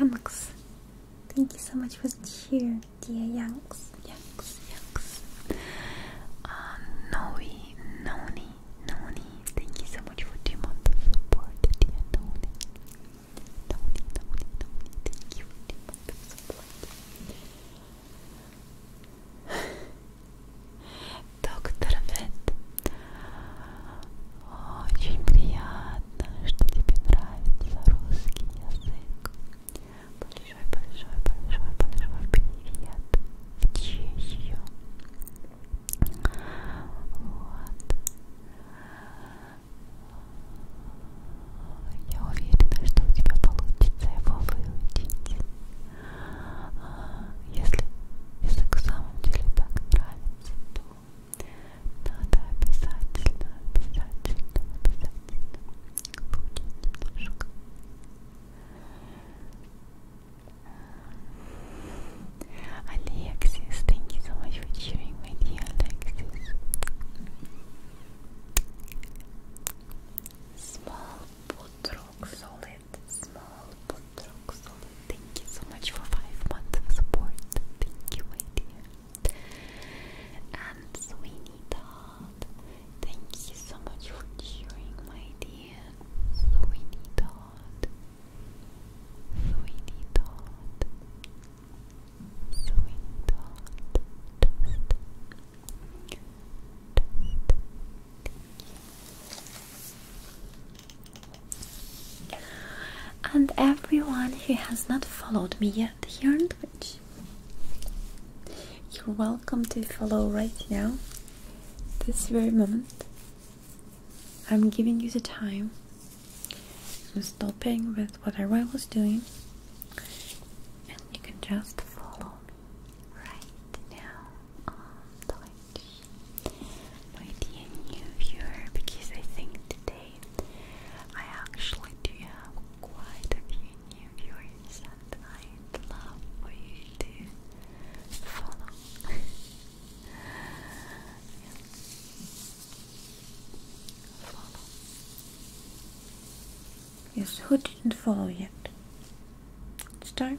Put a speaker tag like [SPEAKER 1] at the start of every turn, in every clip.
[SPEAKER 1] Yanks, thank you so much for the cheer, dear Yanks, Yanks, Yanks. Uh, Noi, Noni, Noni, thank you so much for the month support, dear Noni. Noni, Noni, thank you for the month support. Доктор Вет, очень приятно, что тебе нравится русский язык. Большой, большой, большой, большой привет в Чехию. Вот. Я уверена, что у тебя получится его выучить. Если язык в самом деле так нравится, то надо обязательно, обязательно, обязательно поучить немножко. Alexis, thank you so much for cheering with you, Alexis. Small put rock solid. Small put rock solid. Thank you so much for five months of support. Thank you, my dear. And Sweeney Thank you so much for cheering, my dear. Sweeney Todd. And everyone who has not followed me yet here and which you're welcome to follow right now, this very moment. I'm giving you the time. I'm stopping with whatever I was doing and you can just follow me right now on Twitch. My dear new viewer, because I think today I actually do have quite a few new viewers, and I'd love for you to follow. Yes, who didn't follow yet? It's time.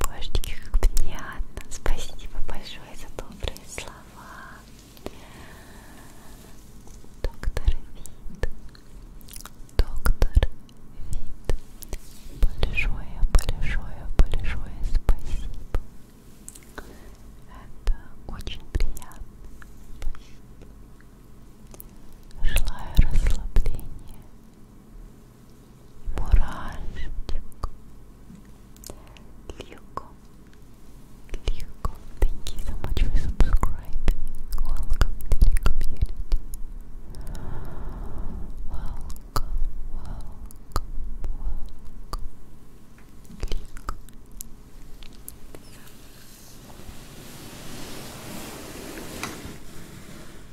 [SPEAKER 1] Божечки, как приятно. Спасибо большое за добрые слова. Доктор Вид. Доктор Вид. Большое, большое, большое спасибо. Это очень приятно. Спасибо. Желаю расслабления Мурашечку. Люко. Люко. Thank you so much for subscribing. Welcome to the community. Welcome, welcome, welcome.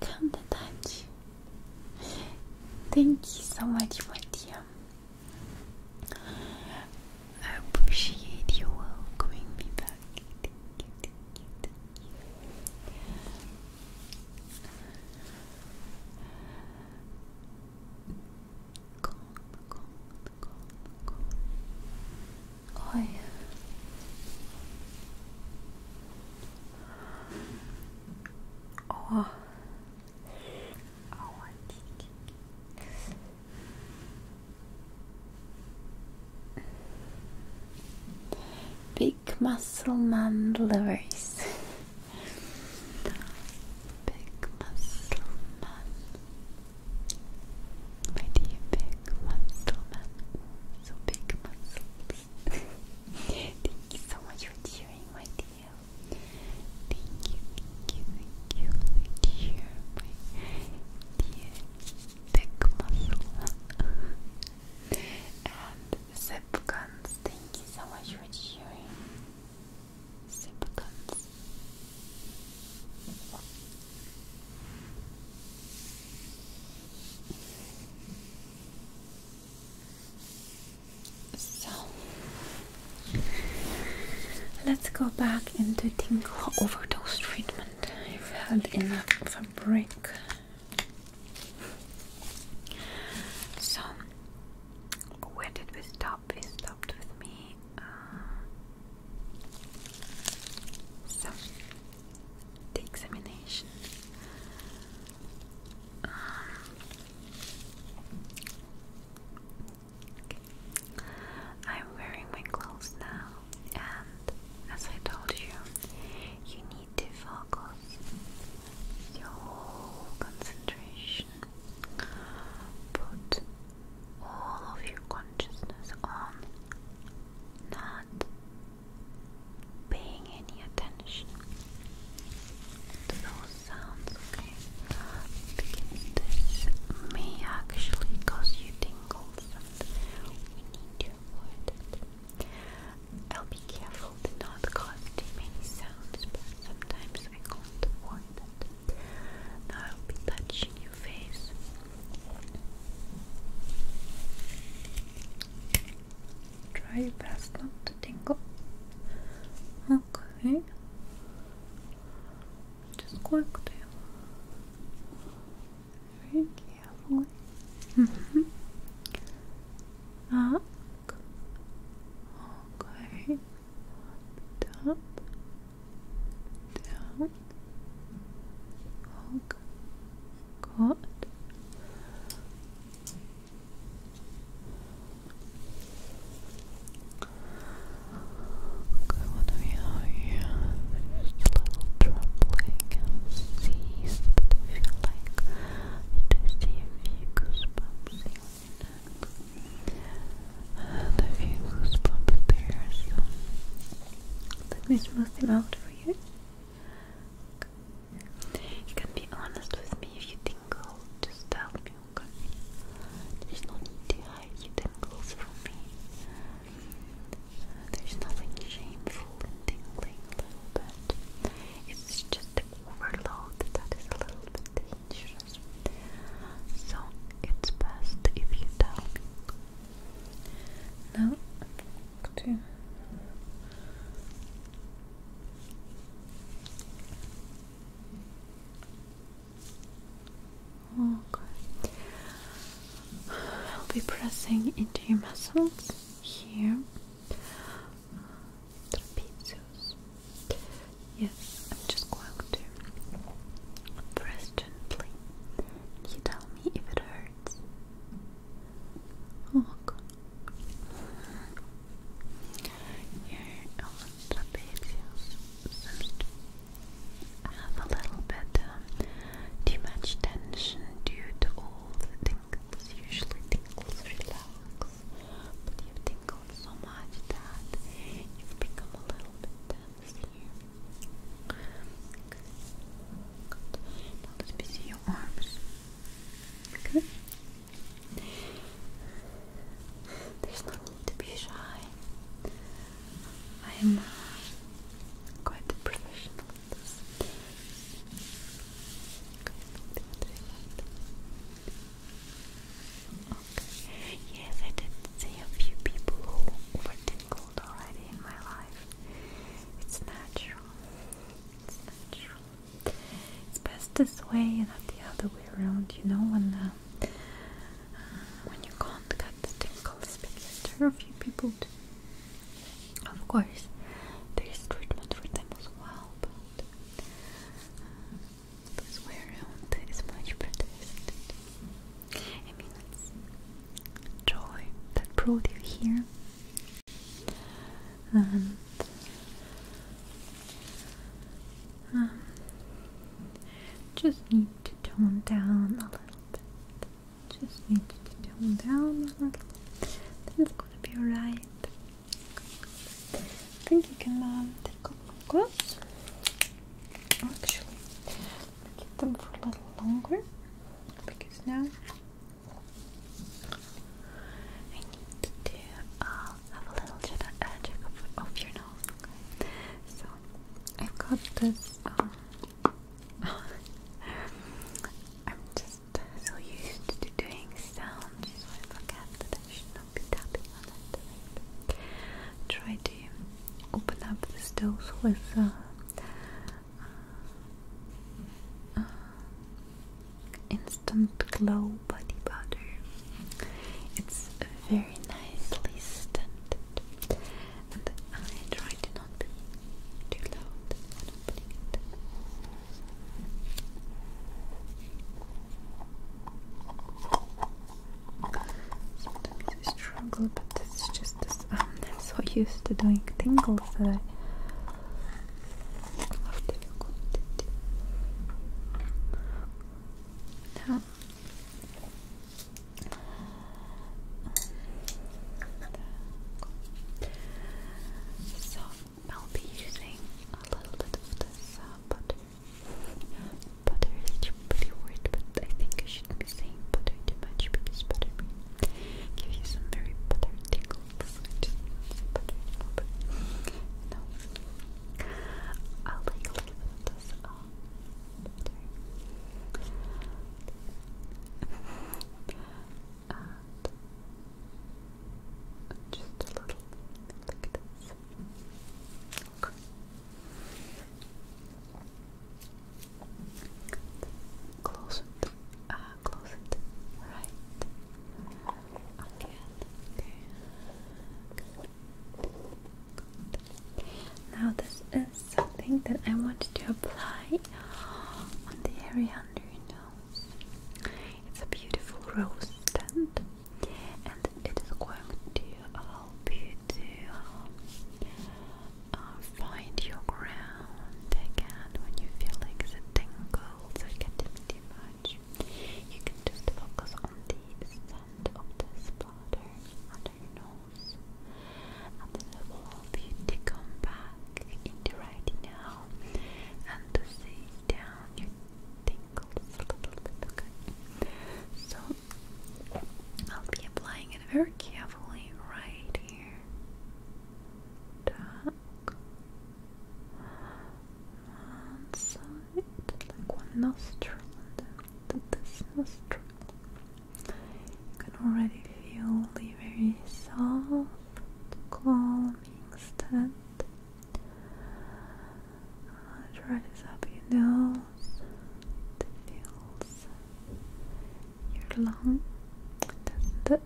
[SPEAKER 1] Count the times. Thank you so much, my dear. I appreciate you welcoming me back calm, calm, calm, calm. Oh Oh. Big muscle man lovers. Big muscle man why do big muscle man? So big muscles. thank you so much for cheering, my dear. Thank you, thank you, thank you, thank you, my dear big muscle and Zip thank you so much for cheering. So let's go back into tingle overdose treatment. You've had enough of a break. So where did we stop? shop stopped with me uh, so the examination um, I'm wearing my clothes now and as I told you you need to focus your concentration put all of your consciousness on not paying any attention to those sounds, okay? Because this may actually cause you tingles we need to avoid it. I'll be careful to cause too many sounds, but sometimes I can't avoid it. Now I'll be touching your face. Try your best not to tingle. Okay. Just quickly. Very carefully. Mm -hmm. Okay. Up, down, hog, caught. Okay, what do we have just a little troubling and cease, but I feel like it is the a few neck and a there, so let me smooth them out for you you can be honest with me if you tingle, just tell me, there's no need to hide your tingles from me there's nothing shameful in tingling a It's just overload that is a little bit dangerous. So it's best if you tell Now I'm going I'll be pressing into your muscles here trapezius. Yes, I'm just going to press gently. you tell me if it hurts? Oh God. Here on have a little bit um, too much tension due to all Usually tingles tingles, but you've tingled so much that you've become a little bit dense here. Good. Now let arms. Okay. There's no need to be shy. I'm uh, quite professional at this. Yes, I did see a few people who were tingled already in my life. It's natural. It's natural. It's best this way and not the other way around. You know when uh, uh, when you can't get the tingles because there are a few people. Of course, there is treatment for them as well, uh, this way around is much better, I mean, it's joy that brought you here, and um, just need to tone down a little bit. Just need to tone down a little. Then it's gonna be alright. I think you can um, take off my gloves. Actually, keep them for a little longer because now I need to uh, have a little check, uh, check of, your nose. So I've got this. Um, I'm just so used to doing sounds, I forget that I should be tapping Try to open up the dose with uh, uh, instant glow body powder. It's very nicely scented, and I try to not be too loud when opening it. Sometimes I struggle, but it's just um, I'm so used to doing tingles that I I'll be using a little bit of this uh, butter. Butter is pretty word, but I think I shouldn't be saying butter too much because butter may you some very butter tingles. Just I'll take a little bit of this uh, butter. Uh, just a little like this. Okay. Close it. Uh, close it. Right. Again. Okay. Good. Now this is something that I want to apply on the area under your nose. It's a beautiful rose stand, and it is going to help you to um, uh, find your ground again when you feel like the tingles are getting too much. You can just focus on the stand of this bladder under your nose, and then it will help you to come back in right now and to see down your a little bit, So, I'll be applying it very carefully right here. Tuck. One nostril, and then nostril. You can already feel the very soft, calming scent uh, try this up your nose. It feels your lung, does it?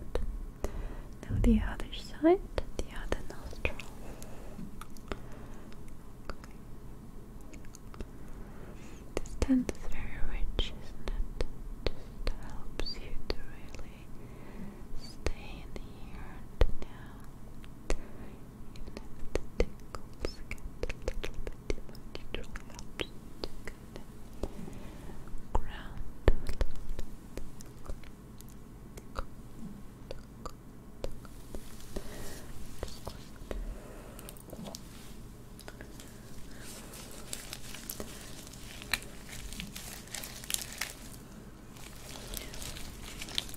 [SPEAKER 1] Now the other side, the other nostril. This tent is very rich, isn't it? Just helps you to really stay in here now. Even the tickles get a little bit ground a little bit.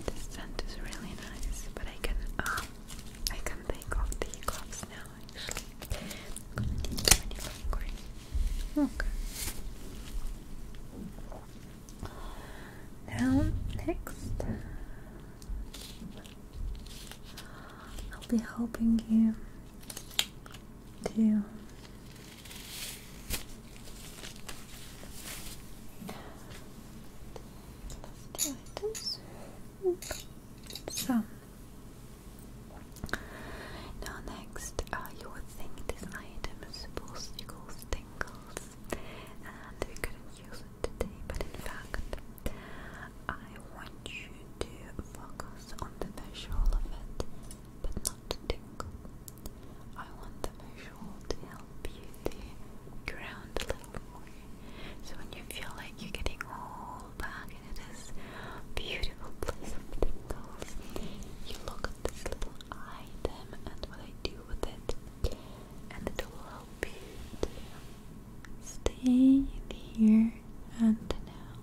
[SPEAKER 1] The scent is really nice, but I can um, I can take off the gloves now. Actually, i next, I'll be helping you to let now next, uh, you would think this item is supposed to cause tingles, and we couldn't use it today. But in fact, I want you to focus on the visual of it, but not the tingle. I want the visual to help you to ground a little more. So when you feel like you're getting all back into this beautiful place of tingles, you look at this little item and what I do with it, and it will help you stay here and now.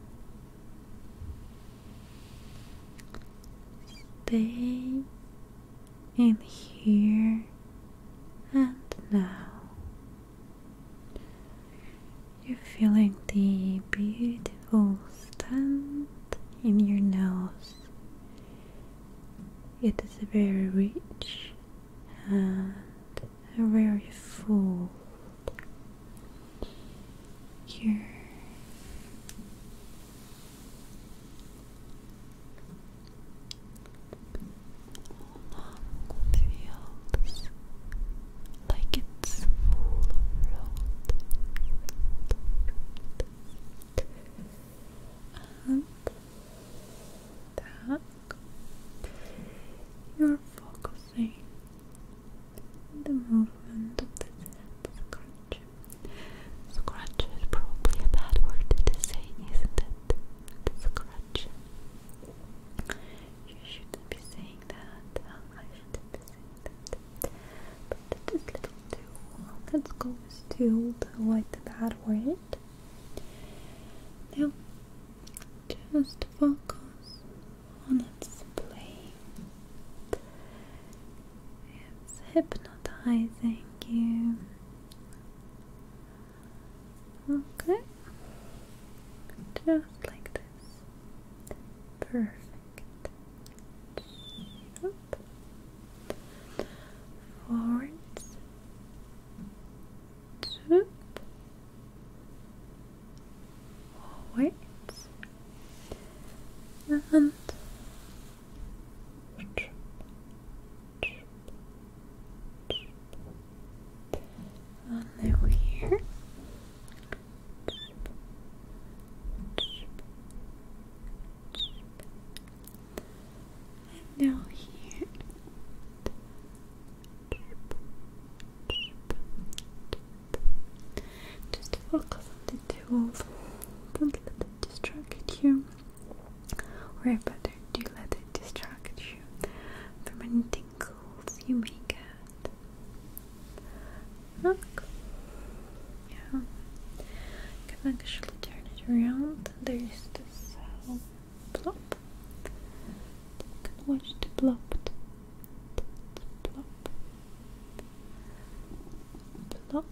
[SPEAKER 1] Stay in here and now. You're feeling the beautiful scent in your nose. It is very rich and very full here. the fields, like it's full of road. And that you're focusing the movement of the scent. Scratch. Scratch is probably a bad word to say, isn't it? Scratch. You shouldn't be saying that. I shouldn't be saying that. But just little too. Let's go with too to avoid the bad word. Now, just focus on its plate. It's hypnotizing you. Okay, just like this. Perfect. Up. Forwards. Up. Hordes and trip, And here. And now here. Just focus on the tool. Don't let it distract you. Or better, do let it distract you from any tingles you may get. Look. Yeah. You can actually turn it around. There's this uh, can watch the blob plop, plop,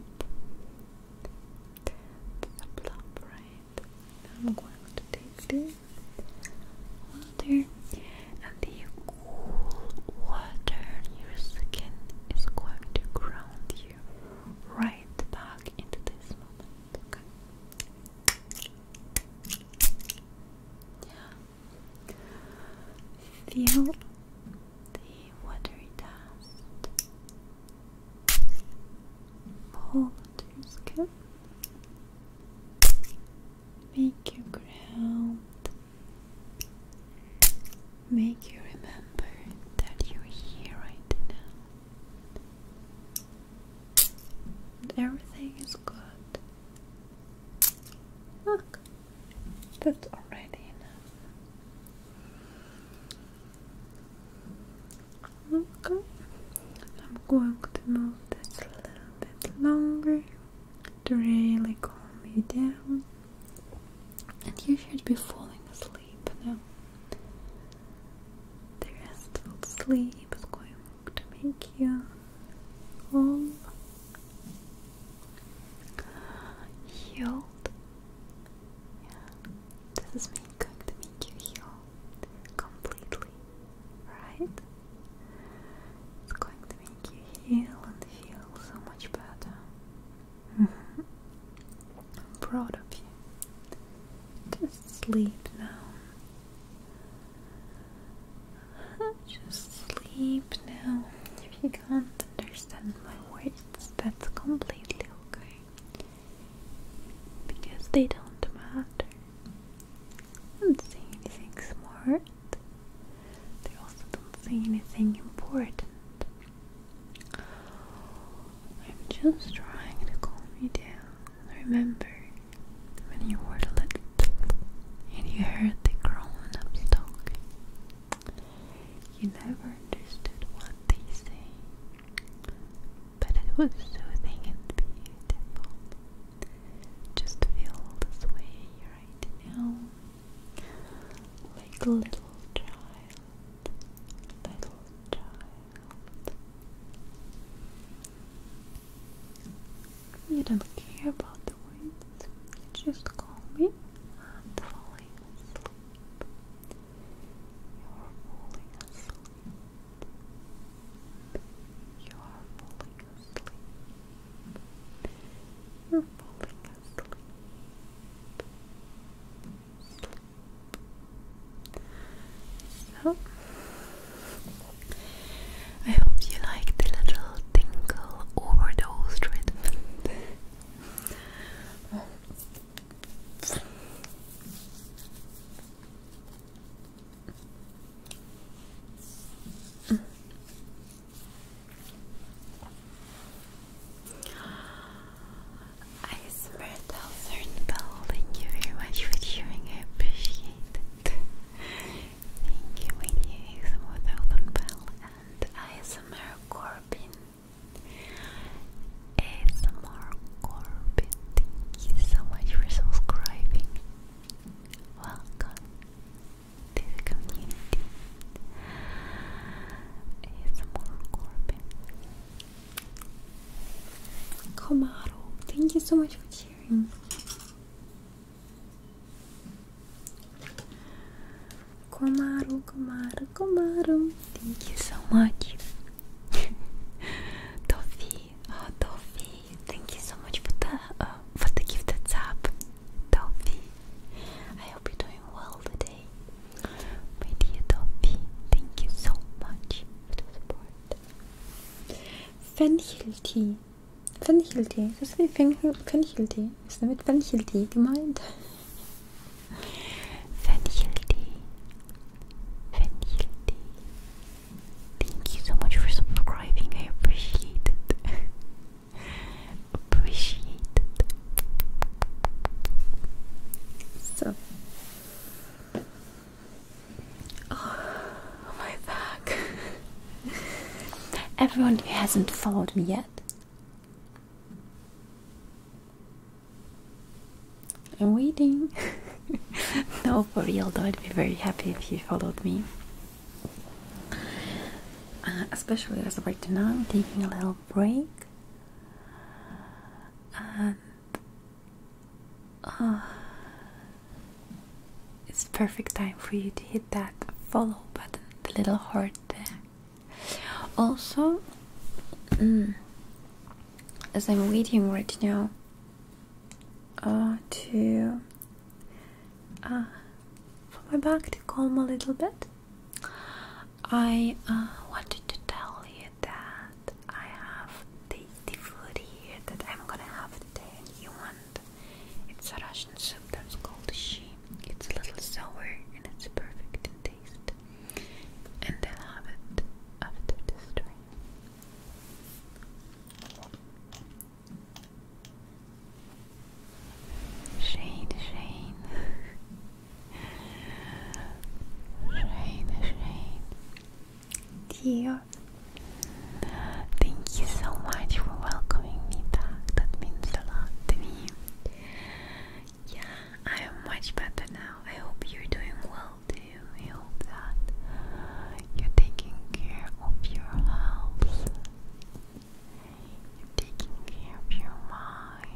[SPEAKER 1] plop, right. I'm going to take this water, and the cool water your skin is going to ground you right back into this moment. Feel the water dust pull to your skin, make you ground, make you remember that you're here right now. And everything is good. That's already enough. Okay. I'm going to move this a little bit longer to really calm you down. And you should be falling asleep now. The restful sleep is going to make you all healed. Yeah. This is going to make you heal completely, right? It's going to make you heal and feel so much better. Mm-hmm. I'm proud of you. Just sleep now. Just sleep now. If you can't understand my words, that's completely okay. Because they don't matter. don't say anything smart. They also don't say anything important. I'm just trying to calm you down. Remember, when you were little and you heard the grown ups talking. You never understood what they say, but it was soothing and beautiful. Just feel this way right now, like a little child, little child. You don't care about the words. You just call me. I'm falling asleep. You're falling asleep. You're falling asleep. You're falling asleep. Sleep. So I hope you like the little tingle overdose treatment. oh. mm. I smell thousand building you very much for cheering. I appreciate Thank you, Winnie ASMR Thousand Bell and ASMR Corbin. ASMR Corbin, thank you so much for subscribing. Welcome to the community. ASMR Corbin. Komaro, thank you so much for cheering. Komaru, Komaru, Komaru. Thank you so much. Toffee, oh Toffee, thank you so much for the uh, for the gift that's up. Toffee, I hope you're doing well today. My dear Toffee, thank you so much for the support. Fenchel tea. Fencheltee. Das ist wie Fencheltee. Ist damit Fencheltee gemeint? Fencheltee. Fencheltee. Thank you so much for subscribing. I appreciate it. appreciate it. So. Oh, my back. Everyone who hasn't followed me yet. I'm waiting. no, for real though, I'd be very happy if you followed me. Uh, especially as right now, I'm taking a little break. Ah, It's perfect time for you to hit that follow button, the little heart there. Also, mm, as I'm waiting right now uh, to uh, for my back to calm a little bit, I uh, wanted to tell you that I have the, food here that I'm gonna have today and you want. It's a Russian soup that's called shi. It's a little sour and it's perfect in taste. And I'll have it after the drink. Shane, Shane. Shane, Shane dear. Thank you so much for welcoming me back. That means a lot to me. Yeah, I am much better now. I hope you're doing well too. I hope that you're taking care of your health. You're taking care of your mind.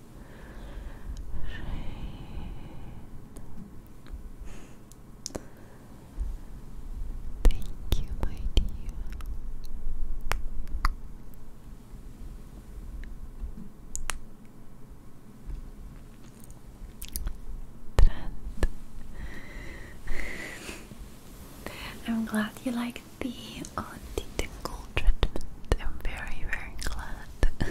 [SPEAKER 1] Thank you, my dear. I'm glad you like the uh, on the treatment. I'm very, very glad. no,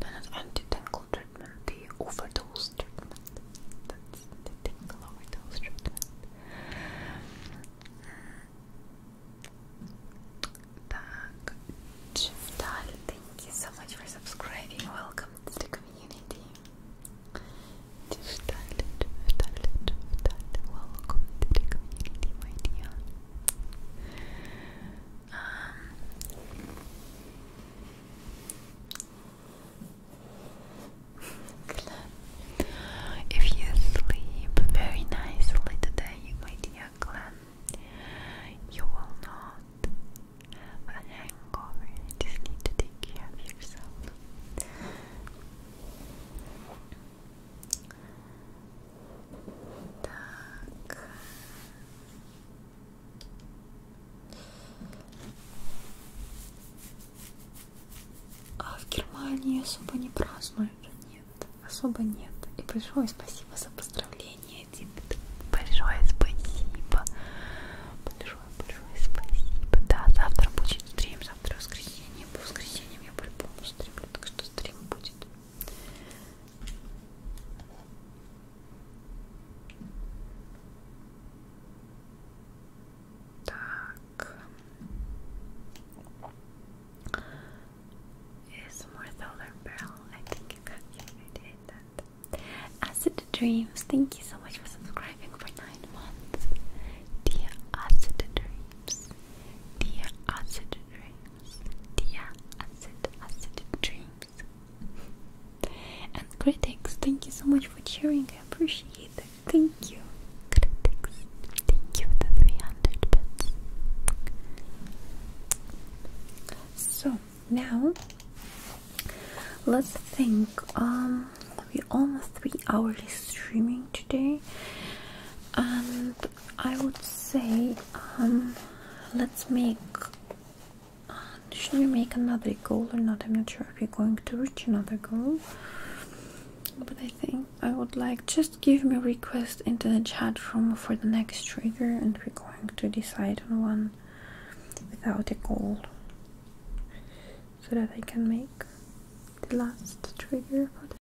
[SPEAKER 1] not anti tingle treatment, the overdose treatment. That's the tingle overdose treatment. Так, Chiftal, thank you so much for subscribing. Welcome to the community. Chiftal, Chiftal, Chiftal, welcome to the community, my dear. Um, if you sleep very nicely today, my dear Glenn, you will not have a hangover. You just to care of yourself. Так. А в Германии особо не празднуют, нет, особо нет. И большое спасибо за поздравление, Дипт. Большое спасибо. Большое, большое спасибо. Да, завтра будет стрим, завтра воскресенье. По воскресеньям я по-любому стримлю, так что стрим будет. Так. ASMR Solar I think you got that. Acid Dreams. Thank you so much for subscribing for nine months. Dear Acid Dreams. Dear Acid dreams, dia acid acidic dreams. And critics, thank you so much for cheering. I appreciate it. Thank you, critics. Thank you for the 300 So now let's think. Um, we almost three hours streaming today, and I would say, um, let's make. Uh, should we make another goal or not? I'm not sure if we're going to reach another goal. But I think I would like just give me a request into the chat room for the next trigger, and we're going to decide on one without a goal, so that I can make the last trigger for the